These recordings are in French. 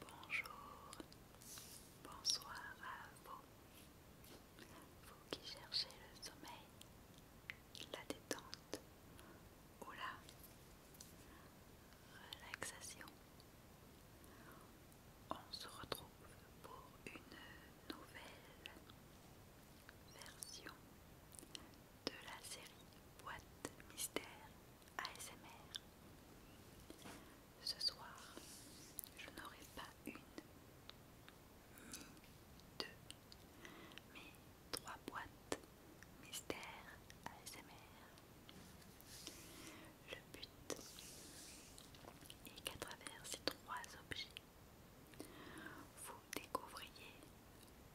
Bonjour, bonsoir à vous. Vous qui cherchez le sommeil, la détente ou la relaxation. On se retrouve pour une nouvelle version de la série boîte mystère ASMR. Ce soir, je n'aurai pas une, ni deux, mais trois boîtes mystère ASMR. Le but est qu'à travers ces trois objets, vous Découvrez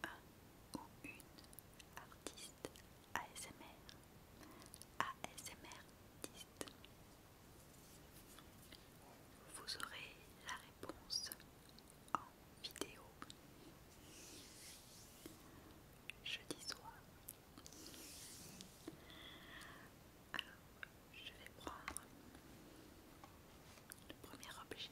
un ou une artiste ASMR, ASMRtiste. Vous aurez la réponse en vidéo jeudi soir. Alors, je vais prendre le premier objet.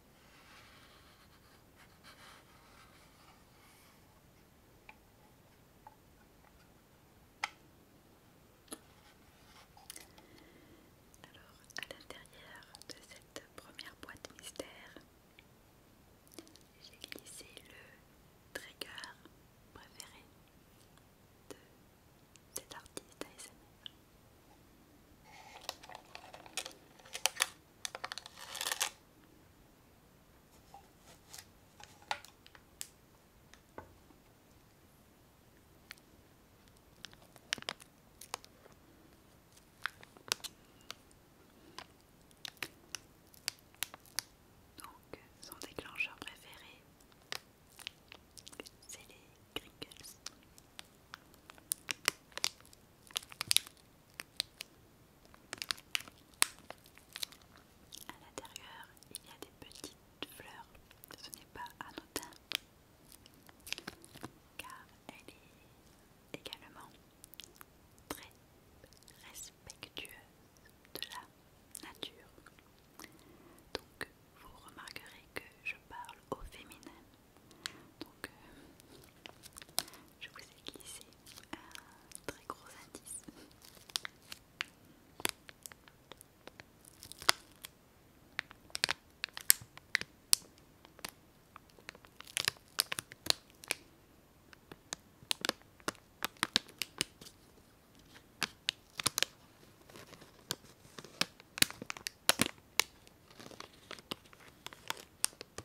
Alors, à l'intérieur de cette première boîte mystère, j'ai glissé le trigger préféré de cet artiste ASMR. Donc son déclencheur préféré, c'est les crinkles. À l'intérieur, il y a des petites fleurs. Ce n'est pas anodin, car elle est également très respectueuse de la nature. Donc, vous remarquerez que je parle au féminin donc, euh, je vous ai glissé un très gros indice.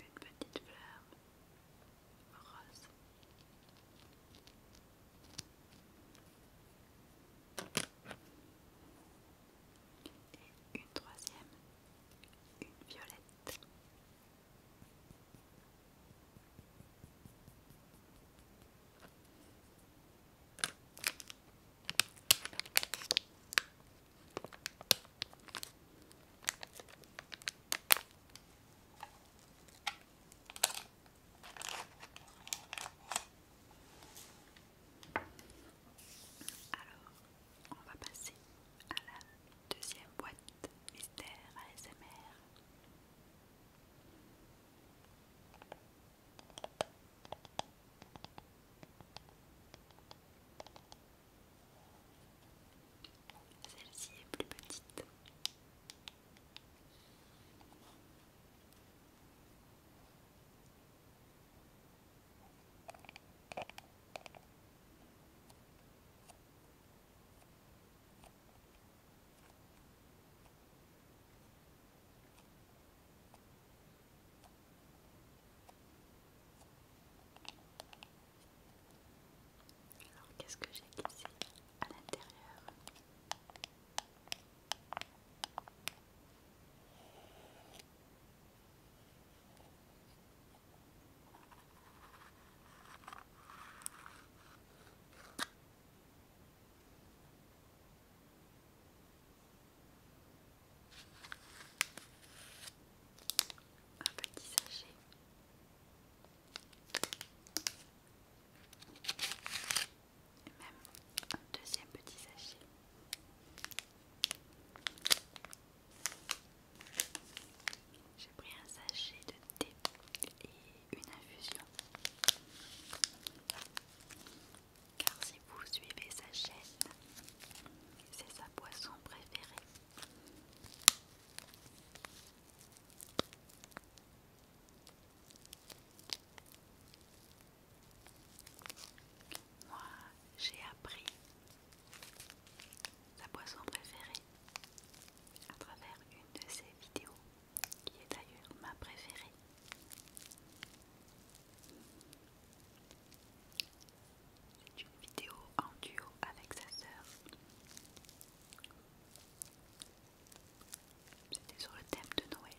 une petite fleur rose. Et une troisième, une violette. Alors, on va passer à la deuxième boîte mystère ASMR. Celle-ci est plus petite. Alors qu'est-ce que j'ai ici à l'intérieur un petit sachet. Et même un deuxième petit sachet. J'ai pris un sachet de thé et une infusion. Car si vous suivez sa chaîne, c'est sa poisson préférée Moi, j'ai appris la boisson préférée à travers une de ses vidéos qui est d'ailleurs ma préférée. C'est une vidéo en duo avec sa sœur. C'était sur le thème de Noël.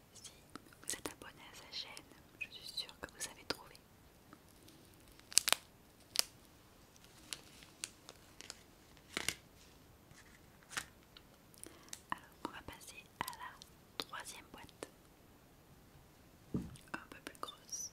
Si vous êtes abonné à sa chaîne, je suis sûre que vous avez trouvé. Alors, on va passer à la troisième boîte, un peu plus grosse.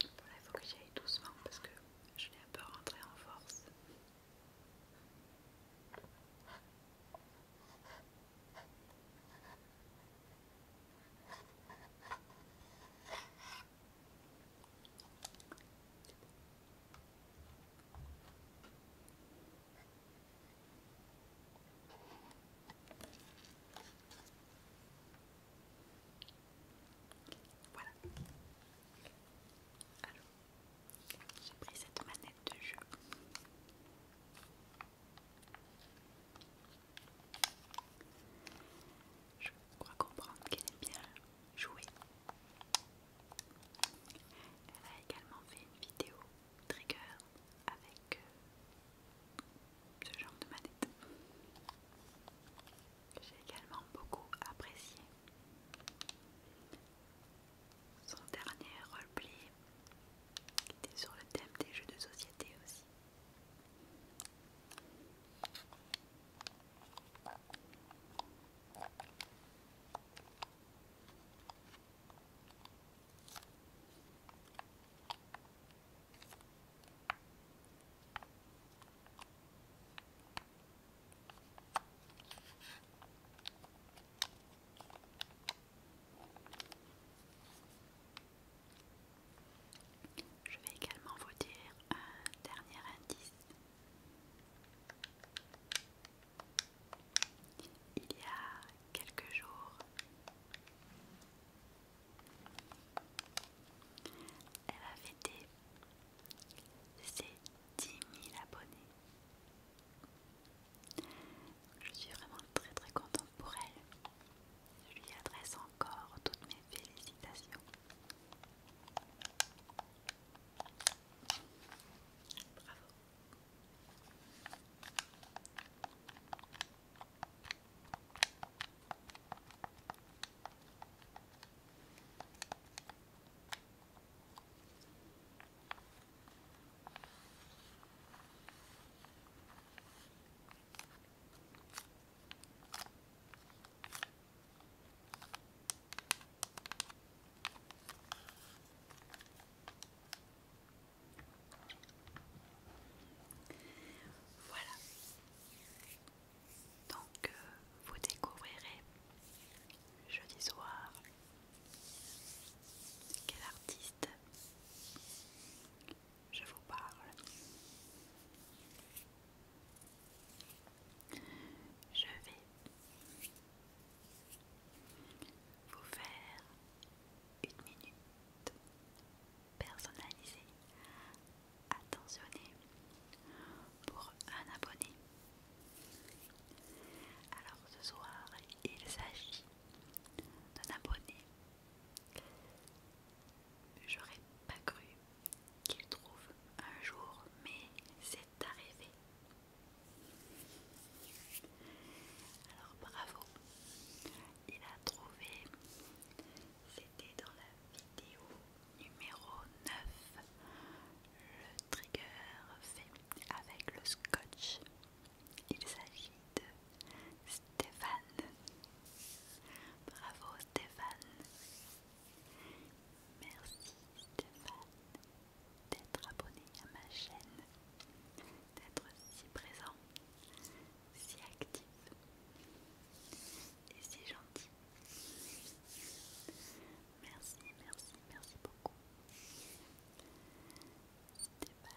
il faut que j'y doucement parce que je l'ai un peu rentré en force. Voilà. Alors, j'ai pris cette manette de jeu. Je crois comprendre qu'elle est bien jouée. Elle a également fait une vidéo trigger avec euh, ce genre de manette. J'ai également beaucoup apprécié. Son dernier roleplay était sur le thème des jeux de société aussi. Je vais également vous dire un dernier indice. Il y a quelques jours, elle a fêté ses dix 000 abonnés. Je suis vraiment très très contente pour elle. Je lui adresse encore toutes mes félicitations. Bravo. Voilà. Donc euh, vous découvrirez jeudi soir quel artiste je vous parle Je vais vous faire une minute personnalisée, attentionnée pour un abonné. Alors ce soir, il s'agit d'un abonné. J'aurais pas cru qu'il trouve un jour, mais c'est arrivé. Alors bravo, il a trouvé, c'était dans la vidéo numéro 9, le trigger fait avec le scotch. Il s'agit de Stéphane. Bravo Stéphane. Merci Stéphane d'être abonné à ma chaîne, d'être si présent, si actif et si gentil. Merci, merci, merci beaucoup. Stéphane,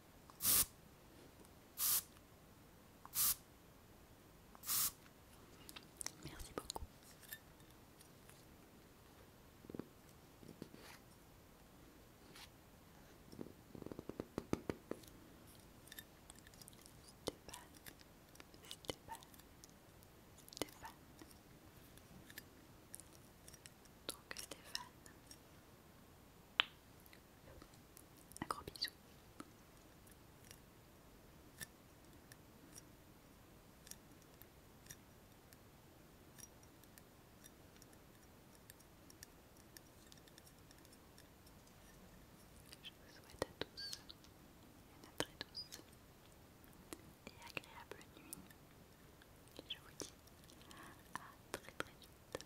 Merci beaucoup. Stéphane, Stéphane, Stéphane. Donc Stéphane, un gros bisou. Je vous souhaite à tous une très douce et agréable nuit. Je vous dis à très très vite